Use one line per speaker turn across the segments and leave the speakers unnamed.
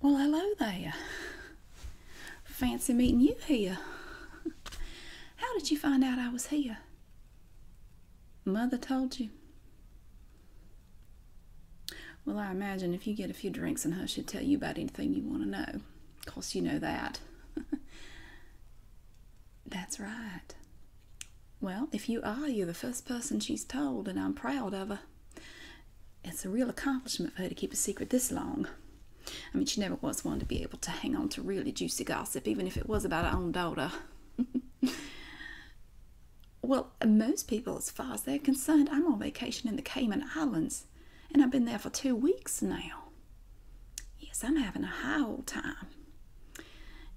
Well, hello there. Fancy meeting you here. How did you find out I was here? Mother told you. Well, I imagine if you get a few drinks in her, she'll tell you about anything you want to know. Of course, you know that. That's right. Well, if you are, you're the first person she's told, and I'm proud of her. It's a real accomplishment for her to keep a secret this long. I mean, she never was one to be able to hang on to really juicy gossip, even if it was about her own daughter. well, most people, as far as they're concerned, I'm on vacation in the Cayman Islands, and I've been there for two weeks now. Yes, I'm having a high old time.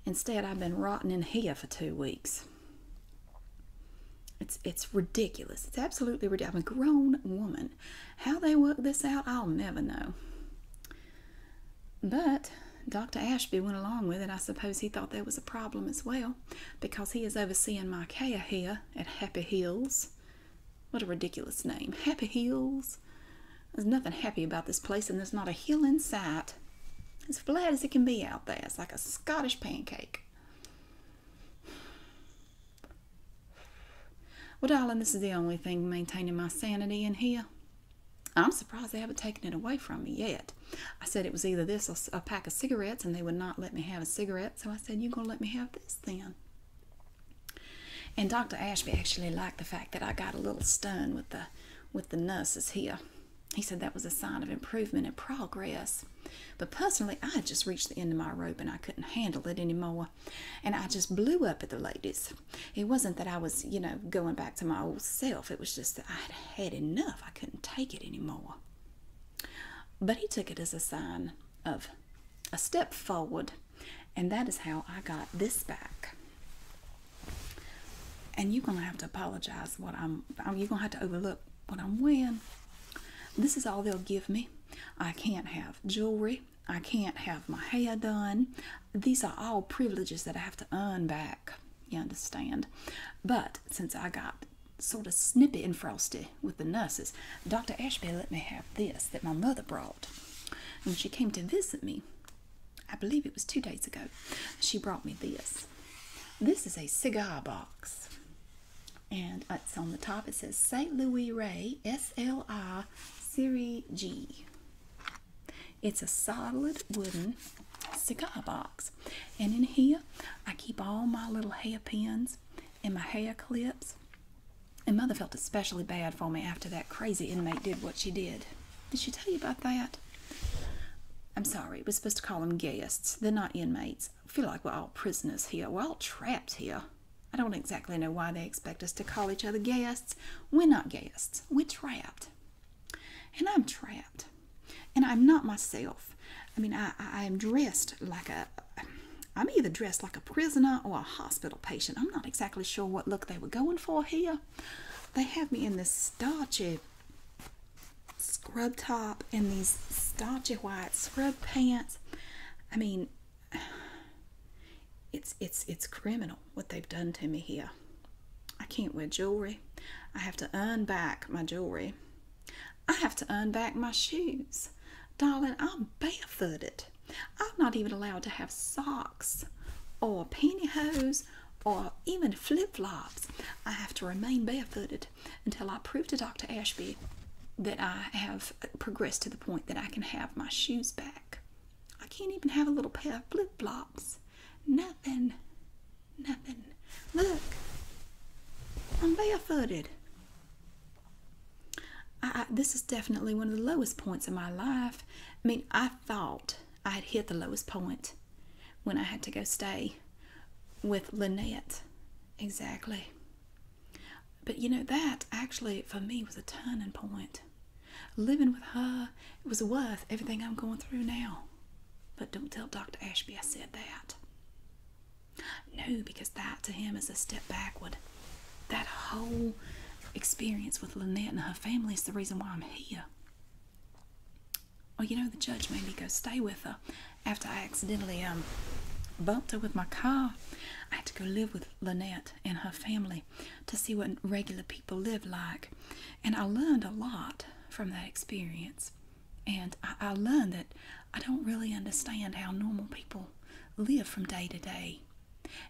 Instead, I've been rotting in here for two weeks. It's it's ridiculous. It's absolutely ridiculous. I'm a grown woman. How they work this out, I'll never know. But Dr. Ashby went along with it. I suppose he thought there was a problem as well, because he is overseeing my care here at Happy Hills. What a ridiculous name, Happy Hills. There's nothing happy about this place, and there's not a hill in sight. As flat as it can be out there. It's like a Scottish pancake. Well, darling, this is the only thing maintaining my sanity in here. I'm surprised they haven't taken it away from me yet. I said it was either this or a pack of cigarettes, and they would not let me have a cigarette, so I said, You're going to let me have this then. And Dr. Ashby actually liked the fact that I got a little stern with the with the nurses here. He said that was a sign of improvement and progress. But personally, I had just reached the end of my rope and I couldn't handle it anymore. And I just blew up at the ladies. It wasn't that I was, you know, going back to my old self. It was just that I had had enough. I couldn't take it anymore. But he took it as a sign of a step forward. And that is how I got this back and you're gonna have to apologize what I'm, you're gonna have to overlook what I'm wearing. This is all they'll give me. I can't have jewelry. I can't have my hair done. These are all privileges that I have to earn back. You understand? But since I got sort of snippy and frosty with the nurses, Dr. Ashby let me have this that my mother brought. When she came to visit me, I believe it was two days ago. She brought me this. This is a cigar box. And it's on the top. It says St. Louis Ray SLI It's a solid wooden cigar box. And in here, I keep all my little hairpins and my hair clips. And Mother felt especially bad for me after that crazy inmate did what she did. Did she tell you about that? I'm sorry, we're supposed to call them guests. They're not inmates. I feel like we're all prisoners here. We're all trapped here. I don't exactly know why they expect us to call each other guests. We're not guests. We're trapped. And I'm trapped. And I'm not myself. I mean, I, I, am dressed like a. I'm either dressed like a prisoner or a hospital patient. I'm not exactly sure what look they were going for here. They have me in this starched scrub top and these starchy white scrub pants. I mean, it's it's it's criminal what they've done to me here. I can't wear jewelry. I have to unback my jewelry. I have to unback my shoes. Darling, I'm barefooted. I'm not even allowed to have socks or pantyhose or even flip flops. I have to remain barefooted until I prove to Dr. Ashby that I have progressed to the point that I can have my shoes back. I can't even have a little pair of flip flops. Nothing. Nothing. Look, I'm barefooted. this is definitely one of the lowest points in my life. I mean, I thought I had hit the lowest point when I had to go stay with Lynette. Exactly. But you know, that actually for me was a turning point. Living with her it was worth everything I'm going through now. But don't tell Dr. Ashby I said that. No, because that to him is a step backward. That whole experience with Lynette and her family is the reason why I'm here. Oh, you know, the judge made me go stay with her after I accidentally um bumped her with my car. I had to go live with Lynette and her family to see what regular people live like. And I learned a lot from that experience. And I, learned that I don't really understand how normal people live from day to day.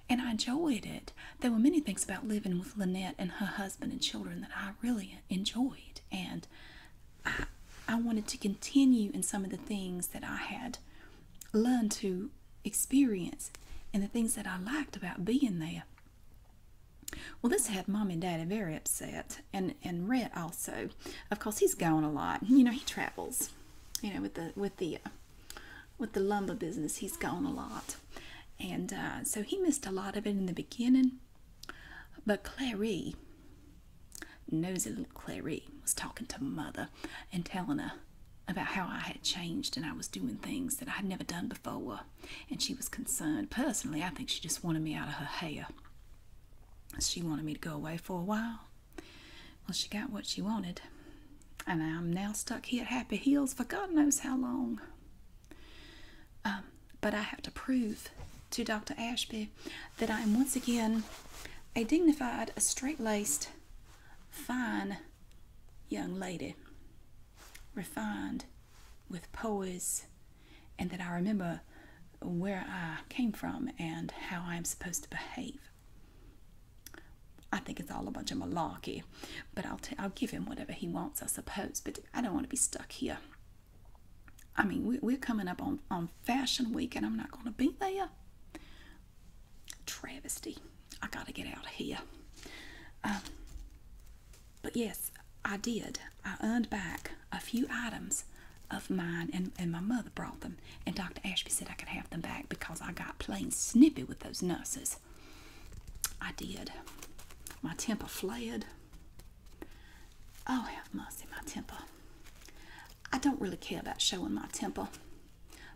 And I enjoyed it. There were many things about living with Lynette and her husband and children that I really enjoyed. And I, wanted to continue in some of the things that I had learned to experience and the things that I liked about being there. Well, this had mom and daddy very upset, and and Rhett also. Of course, he's going a lot. You know, he travels. You know, with the with the uh, with the lumber business, he's going a lot, and uh, so he missed a lot of it in the beginning. But Clary, nosy little Clary, was talking to mother and telling her about how I had changed and I was doing things that I had never done before. And she was concerned. Personally, I think she just wanted me out of her hair. She wanted me to go away for a while. Well, she got what she wanted. And I'm now stuck here at Happy Hills for God knows how long. Um, but I have to prove to Dr. Ashby that I am once again a dignified, a straight-laced, fine young lady, refined with poise, and that I remember where I came from and how I'm supposed to behave. I think it's all a bunch of malarkey, but I'll, t- I'll give him whatever he wants, I suppose, but I don't want to be stuck here I mean, we, are coming up on, on Fashion Week and I'm not going to be there. Travesty. I got to get out of here. Um, but yes, I did. I earned back a few items of mine and, and my mother brought them. And Dr. Ashby said I could have them back because I got plain snippy with those nurses. I did. My temper flared. Oh, I have mercy, my temper. I don't really care about showing my temper,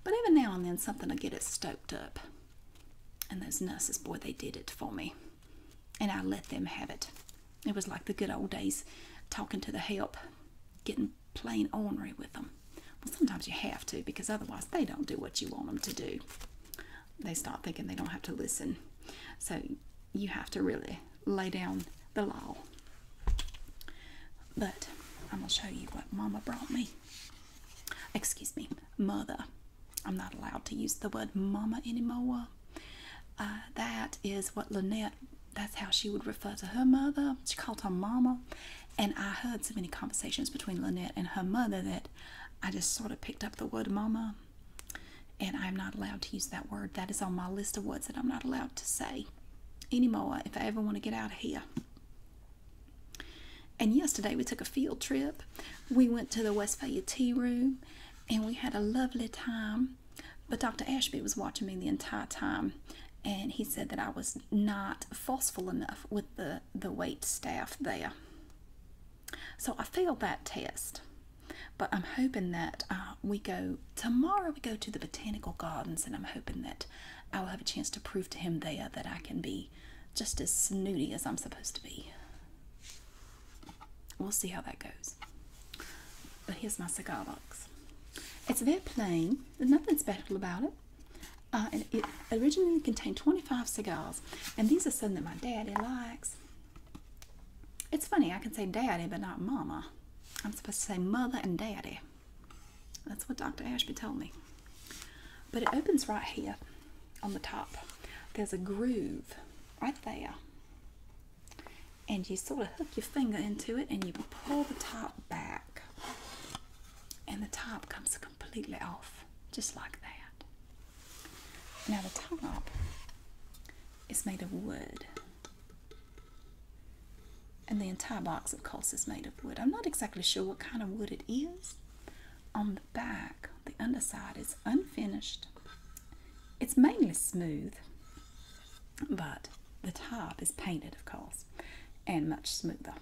but every now and then something will get it stoked up. And those nurses, boy, they did it for me. And I let them have it. It was like the good old days talking to the help, getting plain ornery with them. Well, sometimes you have to because otherwise they don't do what you want them to do they stop thinking they don't have to listen. So you have to really lay down the law. But I'm going to show you what Mama brought me. Excuse me, Mother. I'm not allowed to use the word Mama anymore. Uh, that is what Lynette, that's how she would refer to her mother. She called her Mama. And I heard so many conversations between Lynette and her mother that I just sort of picked up the word Mama and I'm not allowed to use that word. That is on my list of words that I'm not allowed to say anymore if I ever want to get out of here. And yesterday we took a field trip. We went to the Westphalia Tea Room and we had a lovely time. But Dr. Ashby was watching me the entire time and he said that I was not forceful enough with the, the wait staff there. So I failed that test, but I'm hoping that uh, we go tomorrow. We go to the botanical gardens, and I'm hoping that I will have a chance to prove to him there that I can be just as snooty as I'm supposed to be. We'll see how that goes. But here's my cigar box. It's very plain. There's nothing special about it. Uh, it originally contained 25 cigars, and these are some that my daddy likes. It's funny, I can say daddy, but not mama. I'm supposed to say mother and daddy. That's what Dr. Ashby told me. But it opens right here on the top. There's a groove right there. And you sort of hook your finger into it and you pull the top back. And the top comes completely off, just like that. Now the top is made of wood. And the entire box, of course, is made of wood. I'm not exactly sure what kind of wood it is. On the back, the underside is unfinished. It's mainly smooth, but the top is painted, of course, and much smoother.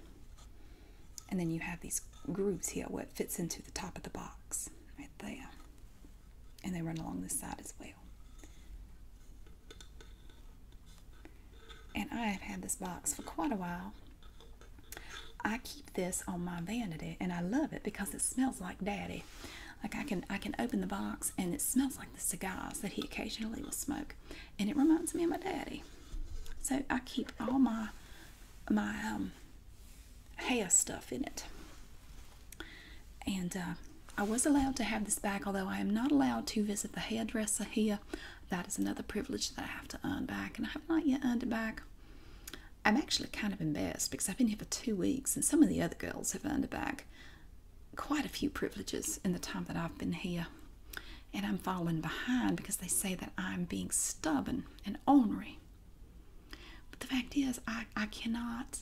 And then you have these grooves here where it fits into the top of the box, right there and they run along this side as well. And I have had this box for quite a while. I keep this on my vanity and I love it because it smells like daddy. Like I can I can open the box and it smells like the cigars that he occasionally will smoke. And it reminds me of my daddy. So I keep all my my um hair stuff in it. And uh, I was allowed to have this back, although I am not allowed to visit the hairdresser here. That is another privilege that I have to earn back, and I have not yet earned it back. I'm actually kind of embarrassed because I've been here for two weeks, and some of the other girls have earned back quite a few privileges in the time that I've been here. And I'm falling behind because they say that I'm being stubborn and ornery. But the fact is, I, I cannot,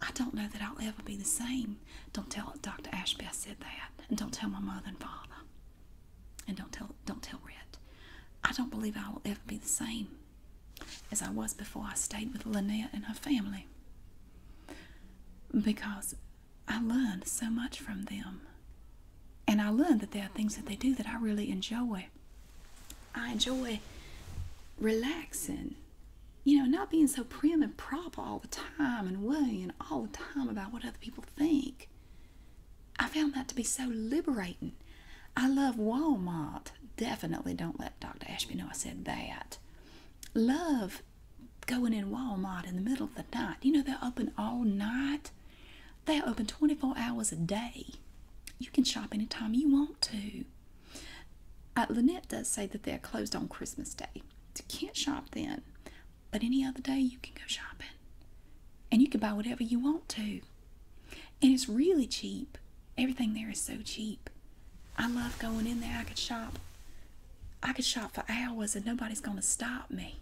I don't know that I'll ever be the same. Don't tell Dr. Ashby I said that. And don't tell my mother and father. And don't tell, don't tell Rhett. I don't believe I will ever be the same as I was before I stayed with Lynette and her family. Because I learned so much from them. And I learned that there are things that they do that I really enjoy I enjoy relaxing. You know, not being so prim and proper all the time and worrying all the time about what other people think. I found that to be so liberating. I love Walmart. Definitely don't let Dr. Ashby know I said that. Love going in Walmart in the middle of the night. You know, they're open all night, they're open 24 hours a day. You can shop anytime you want to. Uh, Lynette does say that they're closed on Christmas Day. you can't shop then, but any other day you can go shopping. And you can buy whatever you want to. And it's really cheap. Everything there is so cheap. I love going in there. I could shop. I could shop for hours and nobody's going to stop me.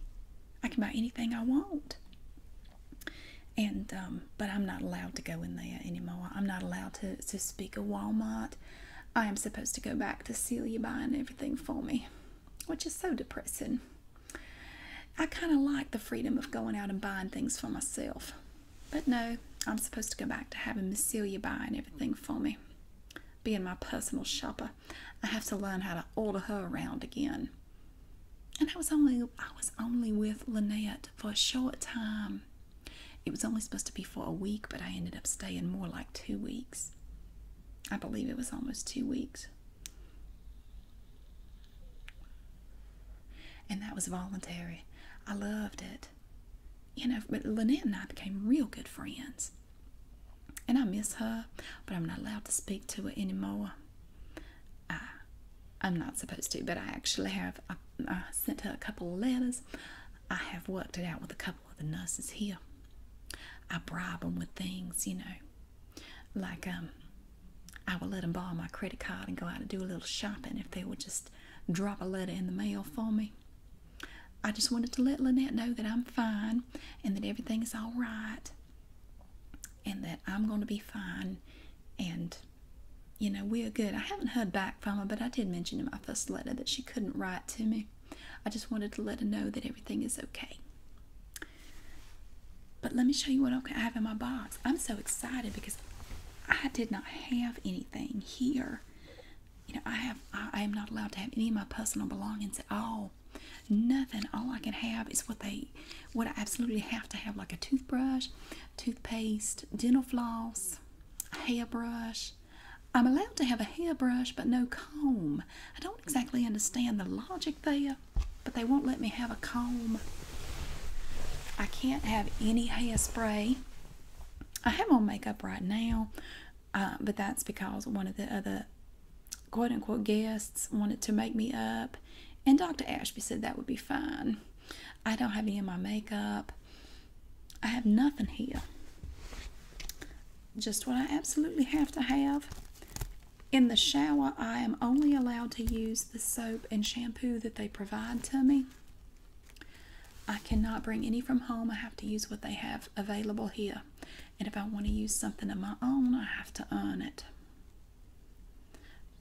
I can buy anything I want and um, but I'm not allowed to go in there anymore. I'm not allowed to, to speak of Walmart. I am supposed to go back to Celia buying everything for me, which is so depressing. I kind of like the freedom of going out and buying things for myself, but no, I'm supposed to go back to having Miss Celia buying everything for me. Being my personal shopper, I have to learn how to order her around again. And I was only I was only with Lynette for a short time. It was only supposed to be for a week, but I ended up staying more like two weeks. I believe it was almost two weeks. And that was voluntary. I loved it. You know, but Lynette and I became real good friends. And I miss her, but I'm not allowed to speak to her anymore. I I'm not supposed to, but I actually have. I, sent her a couple of letters. I have worked it out with a couple of the nurses here. I bribe them with things, you know, like um, I would let them borrow my credit card and go out and do a little shopping if they would just drop a letter in the mail for me. I just wanted to let Lynette know that I'm fine and that everything is all right and that I'm going to be fine and you know, we are good. I haven't heard back from her, but I did mention in my first letter that she couldn't write to me. I just wanted to let her know that everything is okay. But let me show you what I have in my box. I'm so excited because I did not have anything here. You know, I have I, am not allowed to have any of my personal belongings at all. Nothing. All I can have is what they what I absolutely have to have, like a toothbrush, toothpaste, dental floss a hairbrush. I'm allowed to have a hairbrush but no comb. I don't exactly understand the logic there, but they won't let me have a comb. I can't have any hairspray. I have on makeup right now, uh, but that's because one of the other quote unquote guests wanted to make me up, and Dr. Ashby said that would be fine. I don't have any of my makeup. I have nothing here. Just what I absolutely have to have. In the shower, I am only allowed to use the soap and shampoo that they provide to me. I cannot bring any from home. I have to use what they have available here. And if I want to use something of my own, I have to earn it.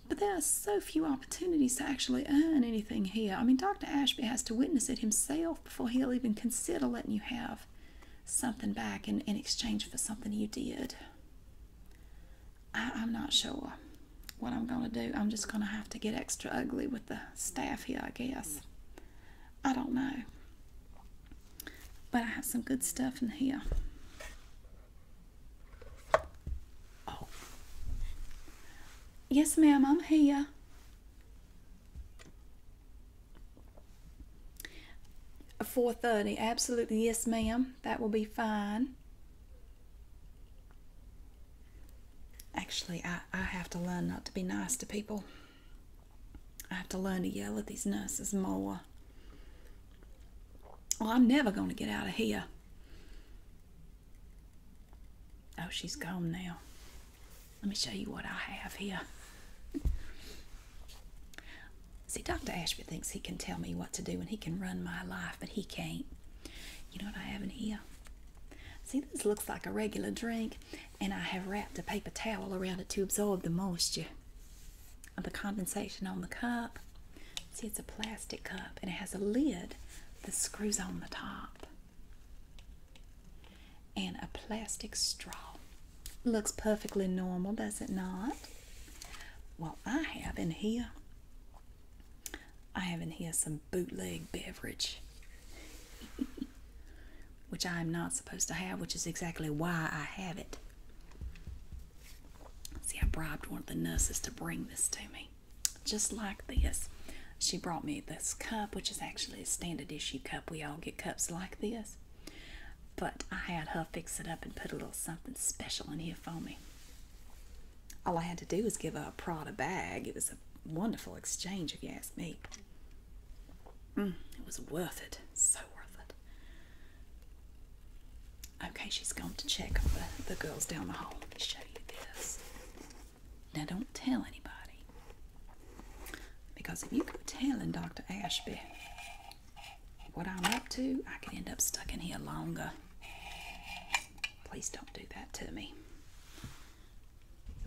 But there are so few opportunities to actually earn anything here. I mean, Dr. Ashby has to witness it himself before he'll even consider letting you have something back in, exchange for something you did. I'm not sure what I'm going to do. I'm just going to have to get extra ugly with the staff here, I guess. I don't know. But I have some good stuff in here. Oh. Yes, ma'am, I'm here. Four thirty, absolutely, yes, ma'am. That will be fine. Actually, I, I have to learn not to be nice to people. I have to learn to yell at these nurses more. Well, I'm never going to get out of here. Oh, she's gone now. Let me show you what I have here. See, Dr. Ashby thinks he can tell me what to do and he can run my life, but he can't. You know what I have in here? See, this looks like a regular drink, and I have wrapped a paper towel around it to absorb the moisture of the condensation on the cup. See, it's a plastic cup, and it has a lid that screws on the top and a plastic straw. Looks perfectly normal, does it not? Well, I have in here, I have in here some bootleg beverage, which I am not supposed to have, which is exactly why I have it. See, I bribed one of the nurses to bring this to me just like this. She brought me this cup, which is actually a standard issue cup. We all get cups like this. But I had her fix it up and put a little something special in here for me. All I had to do was give her a Prada bag. It was a wonderful exchange, if you ask me. Mm, it was worth it. So worth it. Okay, she's gone to check on the girls down the hall. Let me show you this. Now, don't tell anybody. Because if you keep telling Dr. Ashby what I'm up to, I could end up stuck in here longer. Please don't do that to me.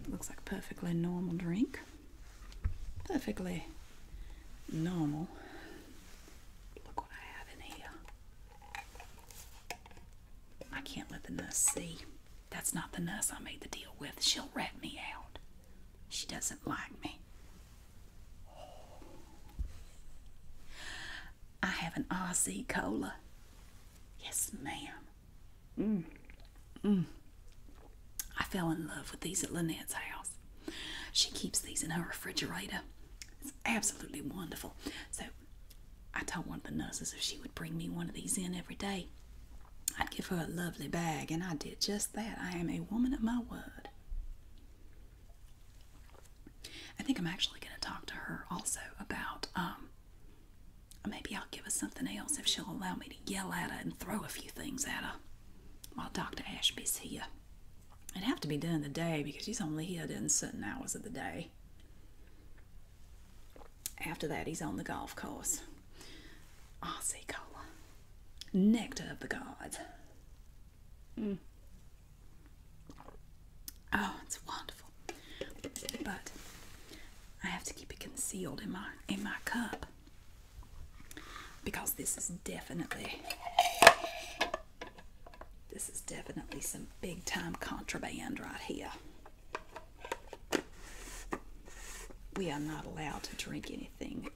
looks like a perfectly normal drink. Perfectly normal. Look what I have in here. I can't let the nurse see. That's not the nurse I made the deal with. She'll rat me out. She doesn't like me. I have an RC cola. Yes, ma'am. Mm. Mm. I fell in love with these at Lynette's house. She keeps these in her refrigerator. It's absolutely wonderful. So I told one of the nurses if she would bring me one of these in every day, I'd give her a lovely bag, and I did just that. I am a woman of my word. I think I'm actually going to talk to her also about um, maybe I'll give her something else if she'll allow me to yell at her and throw a few things at her while Dr. Ashby's here. It'd have to be done in the day because he's only here during certain hours of the day. After that, he's on the golf course. Aussie cola. Nectar of the gods. Mm. Oh, it's wonderful. But I have to keep it concealed in my in my cup because this is definitely this is definitely some big time contraband right here. We are not allowed to drink anything,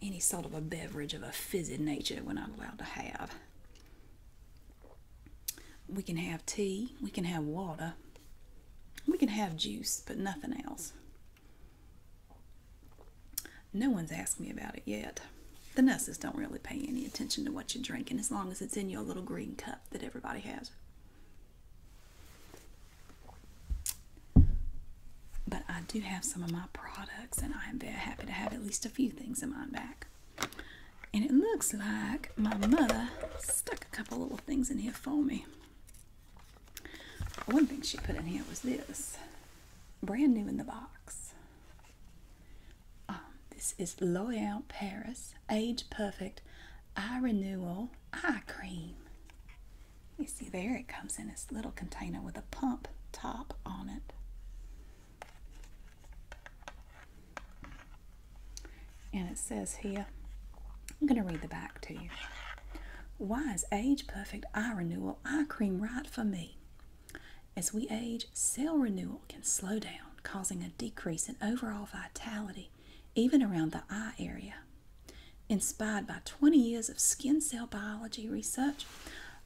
any sort of a beverage of a fizzy nature we're not allowed to have. We can have tea, we can have water, we can have juice, but nothing else. No one's asked me about it yet. The nurses don't really pay any attention to what you're drinking as long as it's in your little green cup that everybody has. But I do have some of my products, and I am very happy to have at least a few things of mine back. And it looks like my mother stuck a couple little things in here for me. One thing she put in here was this brand new in the box. Um, this is L'Oreal Paris Age Perfect Eye Renewal Eye Cream. You see there it comes in this little container with a pump top on it. And it says here, I'm going to read the back to you. Why is Age Perfect Eye Renewal Eye Cream right for me? As we age, cell renewal can slow down, causing a decrease in overall vitality even around the eye area. Inspired by 20 years of skin cell biology research,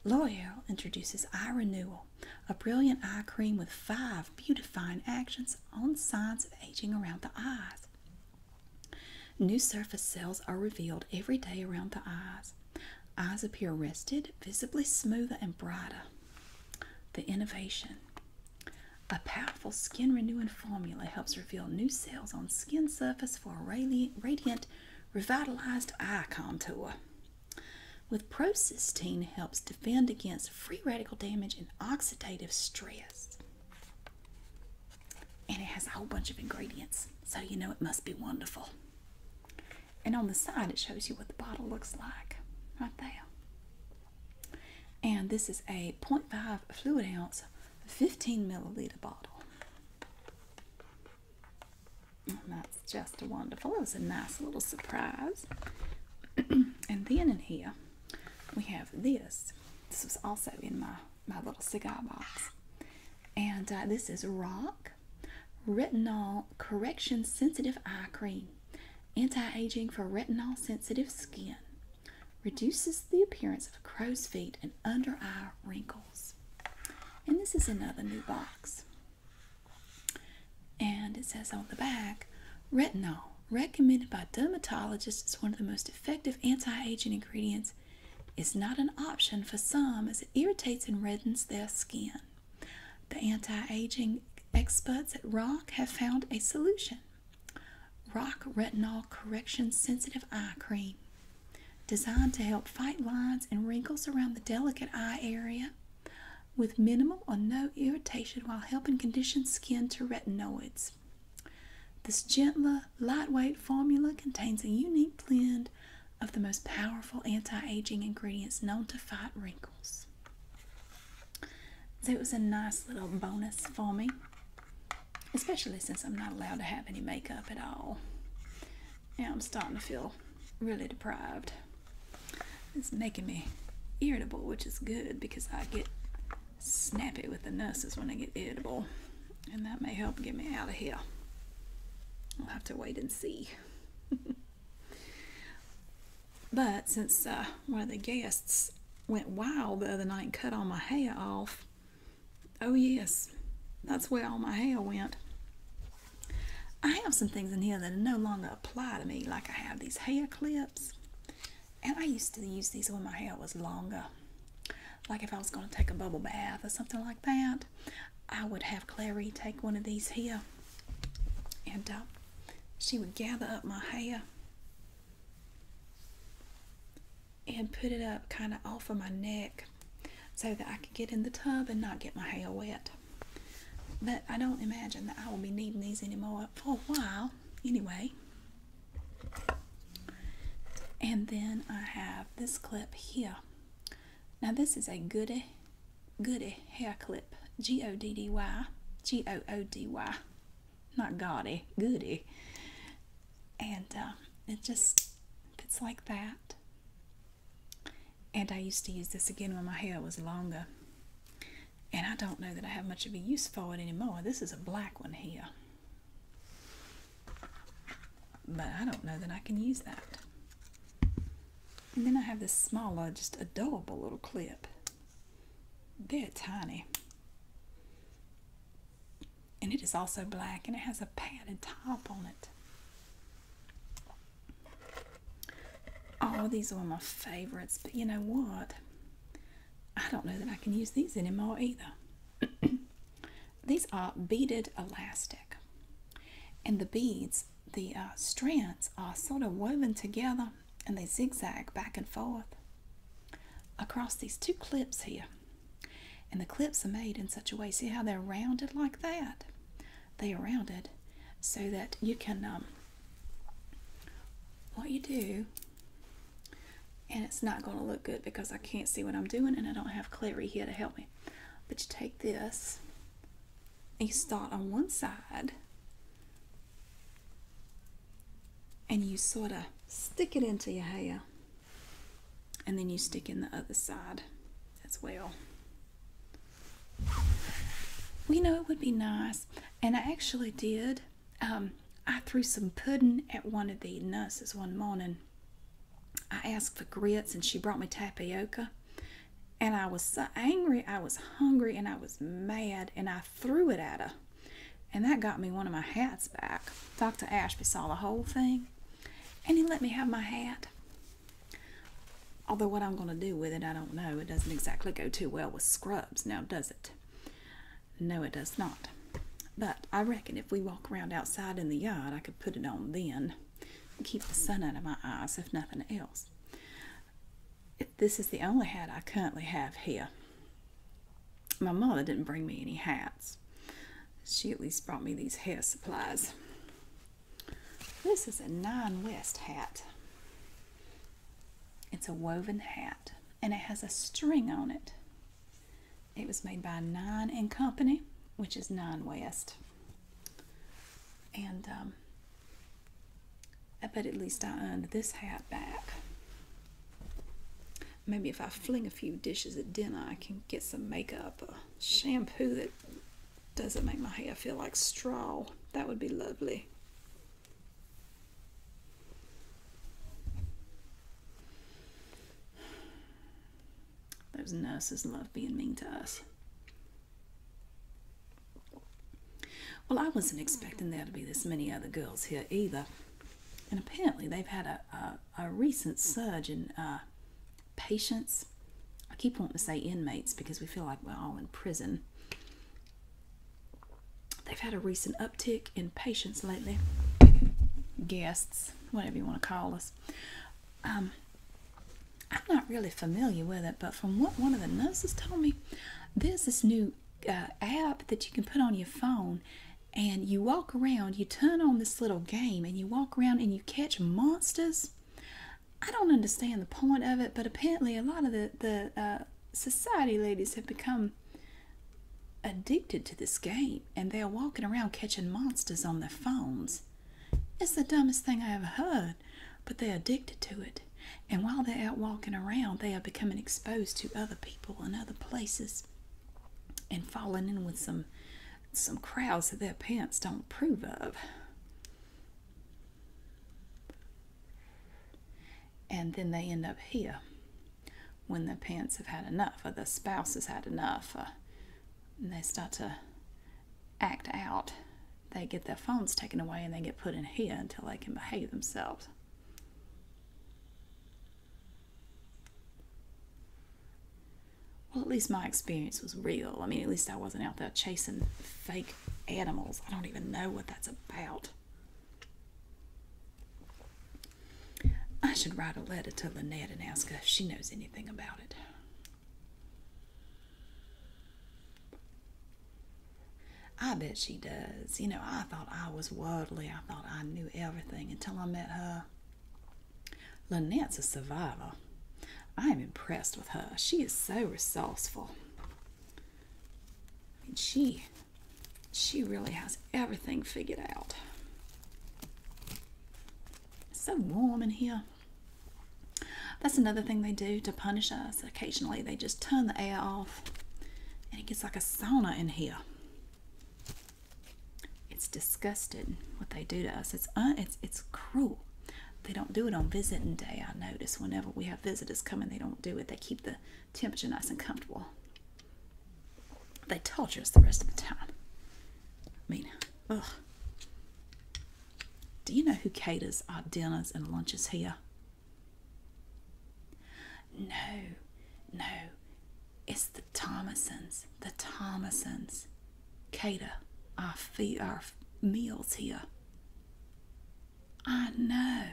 L'Oreal introduces Eye Renewal, a brilliant eye cream with five beautifying actions on signs of aging around the eyes. New surface cells are revealed every day around the eyes. Eyes appear rested, visibly smoother, and brighter. The innovation. A powerful skin renewing formula helps reveal new cells on skin surface for a radiant, revitalized eye contour. With procysteine helps defend against free radical damage and oxidative stress. And it has a whole bunch of ingredients, so you know it must be wonderful. And on the side, it shows you what the bottle looks like right there. And this is a 0.5 fluid ounce, 15 milliliter bottle. that's just wonderful. It was a nice little surprise. and then in here, we have this. This was also in my, my little cigar box. And uh, this is Rock Retinol Correction Sensitive Eye Cream. Anti aging for retinol sensitive skin. Reduces the appearance of crow's feet and under eye wrinkles. And this is another new box. And it says on the back retinol, recommended by dermatologists as one of the most effective anti aging ingredients, is not an option for some as it irritates and reddens their skin. The anti aging experts at Rock have found a solution. Rock Retinol Correction Sensitive Eye Cream. Designed to help fight lines and wrinkles around the delicate eye area with minimal or no irritation while helping condition skin to retinoids. This gentler, lightweight formula contains a unique blend of the most powerful anti aging ingredients known to fight wrinkles. So it was a nice little bonus for me, especially since I'm not allowed to have any makeup at all. Now I'm starting to feel really deprived. It's making me irritable, which is good because I get snappy with the nurses when I get irritable, and that may help get me out of here. I'll have to wait and see. But since uh, one of the guests went wild the other night and cut all my hair off, oh yes, that's where all my hair went. I have some things in here that no longer apply to me, like I have these hair clips. And I used to use these when my hair was longer. Like if I was going to take a bubble bath or something like that, I would have Clary take one of these here. And uh, she would gather up my hair and put it up kind of off of my neck so that I can get in the tub and not get my hair wet. But I don't imagine that I will be needing these anymore for a while anyway. And then I have this clip here. Now this is a Goody, Goody hair clip. G-O-D-D-Y, G-O-O-D-Y not gaudy, goody. And um, it just fits like that. And I used to use this again when my hair was longer. And I don't know that I have much of a use for it anymore. This is a black one here. But I don't know that I can use that. And then I have this smaller, just adorable little clip. They're tiny. And it is also black and it has a padded top on it. Oh, these are my favorites, but you know what? I don't know that I can use these anymore either. these are beaded elastic. And the beads, the uh, strands are sort of woven together and they zigzag back and forth across these two clips here. And the clips are made in such a way, see how they're rounded like that? They are rounded so that you can, um, what you do, and it's not going to look good because I can't see what I'm doing and I don't have Clary here to help me. But you take this and you start on one side and you sort of stick it into your hair and then you stick in the other side as well. We know it would be nice, and I actually did. Um, I threw some pudding at one of the nurses one morning. I asked for grits, and she brought me tapioca. And I was so angry, I was hungry, and I was mad, and I threw it at her. And that got me one of my hats back. Dr. Ashby saw the whole thing and he let me have my hat. Although, what I'm going to do with it, I don't know. It doesn't exactly go too well with scrubs, now does it? No, it does not. But I reckon if we walk around outside in the yard, I could put it on then. and Keep the sun out of my eyes, if nothing else this is the only hat I currently have here. My mother didn't bring me any hats. She at least brought me these hair supplies. This is a Nine West hat. It's a woven hat and it has a string on it. It was made by Nine and Company, which is Nine West. And um, I bet at least I earned this hat back. Maybe if I fling a few dishes at dinner, I can get some makeup or shampoo that doesn't make my hair feel like straw. That would be lovely. Those nurses love being mean to us. Well, I wasn't expecting there to be this many other girls here either and apparently they've had a, a, recent surge in uh, patients. I keep wanting to say inmates because we feel like we're all in prison. They've had a recent uptick in patients lately, guests, whatever you want to call us. Um, I'm not really familiar with it, but from what one of the nurses told me, there's this new uh, app that you can put on your phone and you walk around, you turn on this little game and you walk around and you catch monsters. I don't understand the point of it, but apparently a lot of the, the uh, society ladies have become addicted to this game and they're walking around catching monsters on their phones. It's the dumbest thing I ever heard, but they're addicted to it. And while they're out walking around, they are becoming exposed to other people people in other places and falling in with some some crowds that their parents don't approve of. And then they end up here when the parents have had enough, or the spouses has had enough, and they start to act out. They get their phones taken away and they get put in here until they can behave themselves. Well, at least my experience was real. I mean, at least I wasn't out there chasing fake animals. I don't even know what that's about. I should write a letter to Lynette and ask her if she knows anything about it. I bet she does. You know, I thought I was worldly. I thought I knew everything until I met her. Lynette's a survivor. I am impressed with her. She is so resourceful. I mean, she, she really has everything figured out. It's so warm in here. That's another thing they do to punish us. Occasionally, they just turn the air off, and it gets like a sauna in here. It's disgusted what they do to us. It's it's it's cruel. They don't do it on visiting day. I notice whenever we have visitors coming, they don't do it. They keep the temperature nice and comfortable. They torture us the rest of the time. I mean, ugh. Do you know who caters our dinners and lunches here? No, no, it's the Thomasons, the Thomasons cater our, fee- our meals here. I know.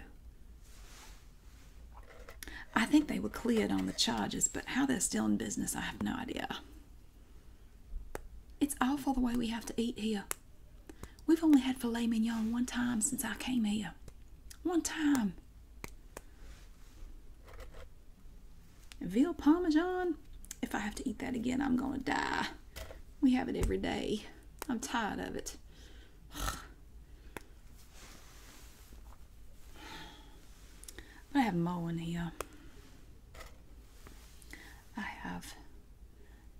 I think they were cleared on the charges, but how they're still in business, I have no idea. It's awful the way we have to eat here. We've only had filet mignon one time since I came here. One time. Veal Parmesan? If I have to eat that again, I'm going to die. We have it every day. I'm tired of it. I have Mo in here. I have,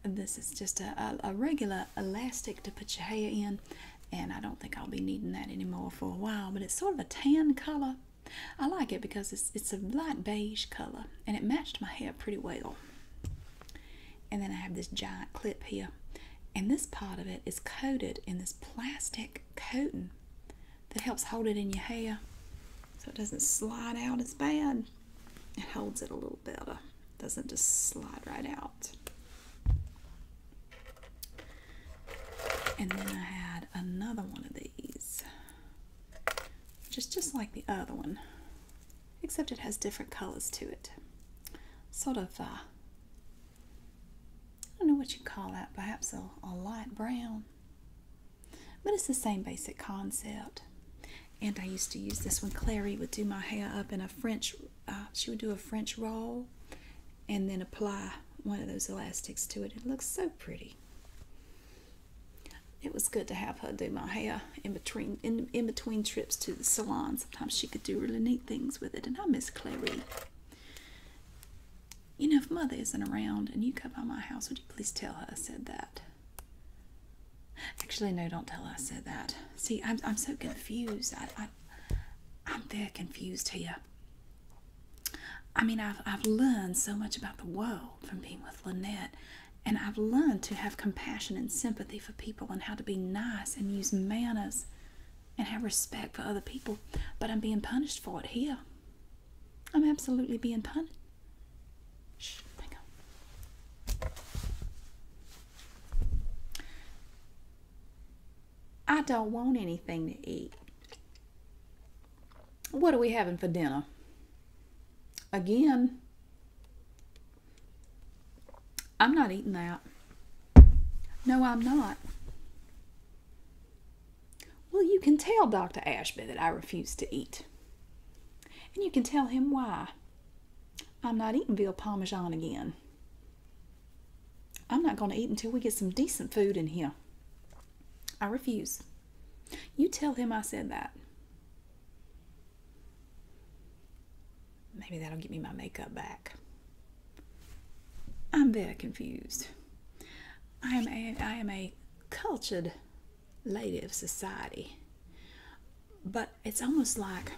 this is just a regular elastic to put your hair in and I don't think I'll be needing that anymore for a while. But it's sort of a tan color. I like it because it's it's a light beige color, and it matched my hair pretty well. And then I have this giant clip here, and this part of it is coated in this plastic coating that helps hold it in your hair, so it doesn't slide out as bad. It holds it a little better, doesn't just slide right out. And then I had another one of these. Just just like the other one. Except it has different colors to it. Sort of uh I don't know what you call that, perhaps a, light brown. But it's the same basic concept. And I used to use this when Clary would do my hair up in a French, uh, she would do a French roll and then apply one of those elastics to it. It looks so pretty. It was good to have her do my hair in between in, in between trips to the salon. Sometimes she could do really neat things with it, and I miss Clary. You know, if Mother isn't around and you come by my house, would you please tell her I said that? Actually, no, don't tell her I said that. See, I'm, I'm so confused. I, I, am very confused here. I mean, I've, I've learned so much about the world from being with Lynette, and I've learned to have compassion and sympathy for people and how to be nice and use manners and have respect for other people, but I'm being punished for it here. I'm absolutely being punished. Shh, hang on. I don't want anything to eat. What are we having for dinner? Again, I'm not eating that. No, I'm not. Well, you can tell Dr. Ashby that I refuse to eat. And you can tell him why. I'm not eating veal parmesan again. I'm not going to eat until we get some decent food in here. I refuse. You tell him I said that. Maybe that'll get me my makeup back. I'm very confused. I am a, I am a cultured lady of society, but it's almost like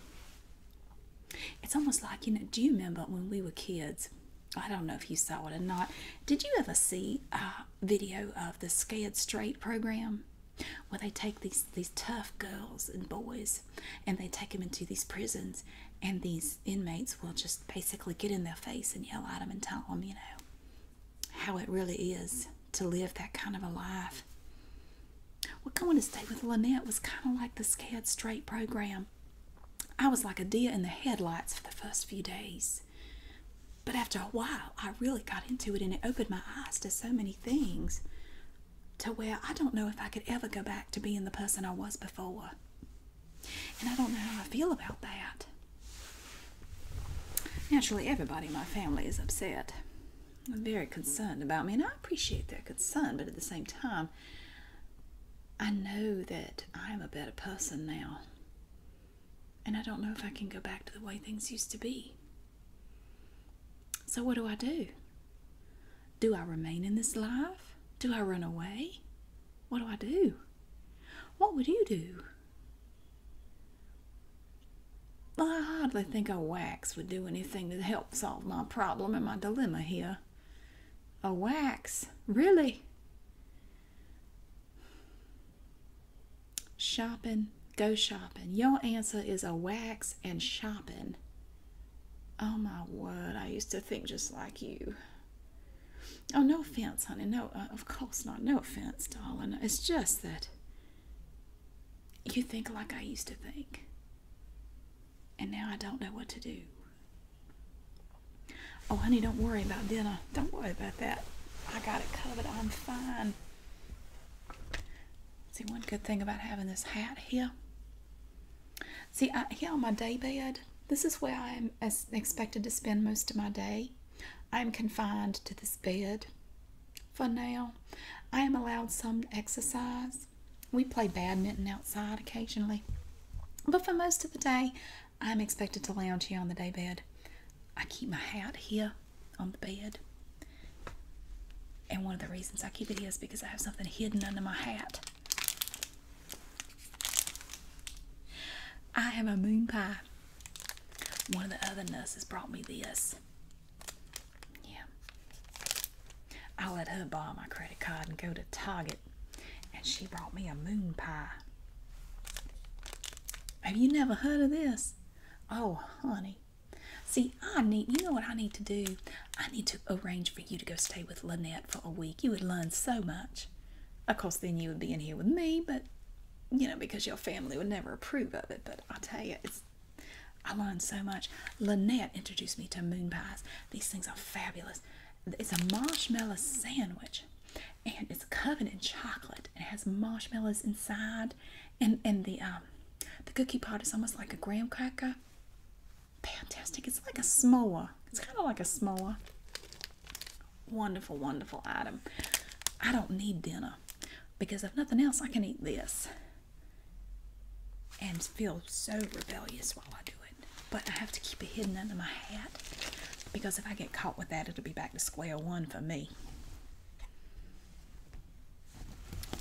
it's almost like, you know, do you remember when we were kids? I don't know if you saw it or not. Did you ever see a video of the Scared Straight program? Where they take these these tough girls and boys, and they take them into these prisons, and these inmates will just basically get in their face and yell at them and tell them, you know, how it really is to live that kind of a life. Well, going to stay with Lynette was kind of like the Scared Straight program. I was like a deer in the headlights for the first few days. But after a while, I really got into it and it opened my eyes to so many things to where I don't know if I could ever go back to being the person I was before. And I don't know how I feel about that. Naturally, everybody in my family is upset. I'm very concerned about me, and I appreciate their concern, but at the same time, I know that I'm a better person now. And I don't know if I can go back to the way things used to be. So, what do I do? Do I remain in this life? Do I run away? What do I do? What would you do? I hardly think a wax would do anything to help solve my problem and my dilemma here a wax. Really? Shopping, go shopping. Your answer is a wax and shopping. Oh my word, I used to think just like you. Oh, no offense, honey. No, uh, of course not. No offense, darling. It's just that you think like I used to think. And now I don't know what to do. Oh, honey, don't worry about dinner. Don't worry about that. I got it covered. I'm fine. See, one good thing about having this hat here. See, here on my day bed, this is where I am expected to spend most of my day. I am confined to this bed for now. I am allowed some exercise we play badminton outside occasionally. But for most of the day, I'm expected to lounge here on the daybed. I keep my hat here on the bed. And one of the reasons I keep it here is because I have something hidden under my hat. I have a moon pie. One of the other nurses brought me this. Yeah. I let her buy my credit card and go to Target and she brought me a moon pie. Have you never heard of this? Oh, honey. See, I need, you know what I need to do? I need to arrange for you to go stay with Lynette for a week. You would learn so much. Of course, then you would be in here with me, but, you know, because your family would never approve of it. But i tell you, it's, I learned so much. Lynette introduced me to moon pies. These things are fabulous. It's a marshmallow sandwich and it's covered in chocolate. It has marshmallows inside and and the um, the cookie part is almost like a graham cracker. Fantastic. It's like a s'more. It's kind of like a s'more. Wonderful, wonderful item. I don't need dinner because if nothing else, I can eat this and feel so rebellious while I do it but I have to keep it hidden under my hat because if I get caught with that, it'll be back to square one for me.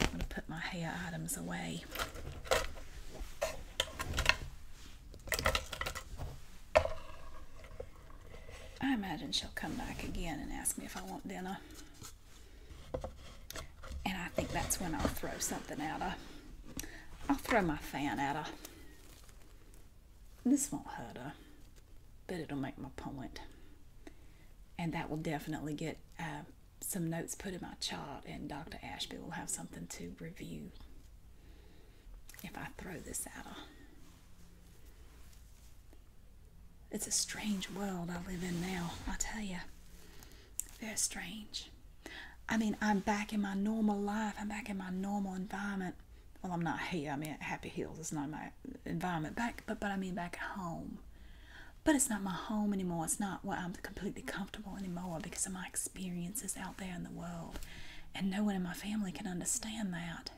I'm going to put my hair items away. I imagine she'll come back again and ask me if I want dinner. And I think that's when I'll throw something at her. I'll throw my fan at her. This won't hurt her, but it'll make my And that will definitely get uh, some notes put in my chart, and Dr. Ashby will have something to review if I throw this at her. It's a strange world I live in now, I tell you. Very strange. I mean, I'm back in my normal life. I'm back in my normal environment. Well, I'm not here. I mean, at Happy Hills It's not my environment back, but but I mean back at home. But it's not my home anymore. It's not where I'm completely comfortable anymore because of my experiences out there in the world, and no one in my family can understand that.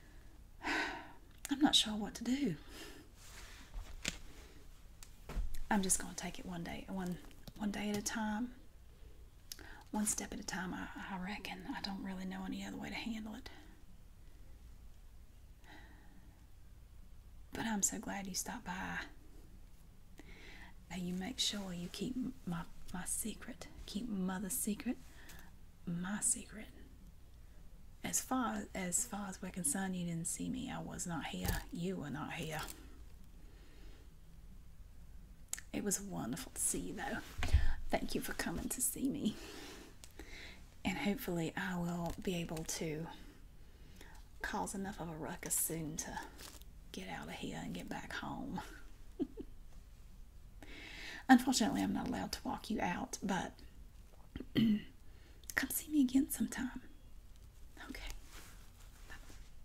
I'm not sure what to do. I'm just going to take it one day, one one day at a time one step at a time, I, reckon. I don't really know any other way to handle it. But I'm so glad you stopped by. Now you make sure you keep my, my secret, keep mother's secret, my secret. As far as far as we're concerned, you didn't see me. I was not here. You were not here. It was wonderful to see you, though. Thank you for coming to see me. And hopefully, I will be able to cause enough of a ruckus soon to get out of here and get back home. Unfortunately, I'm not allowed to walk you out, but come see me again sometime. Okay.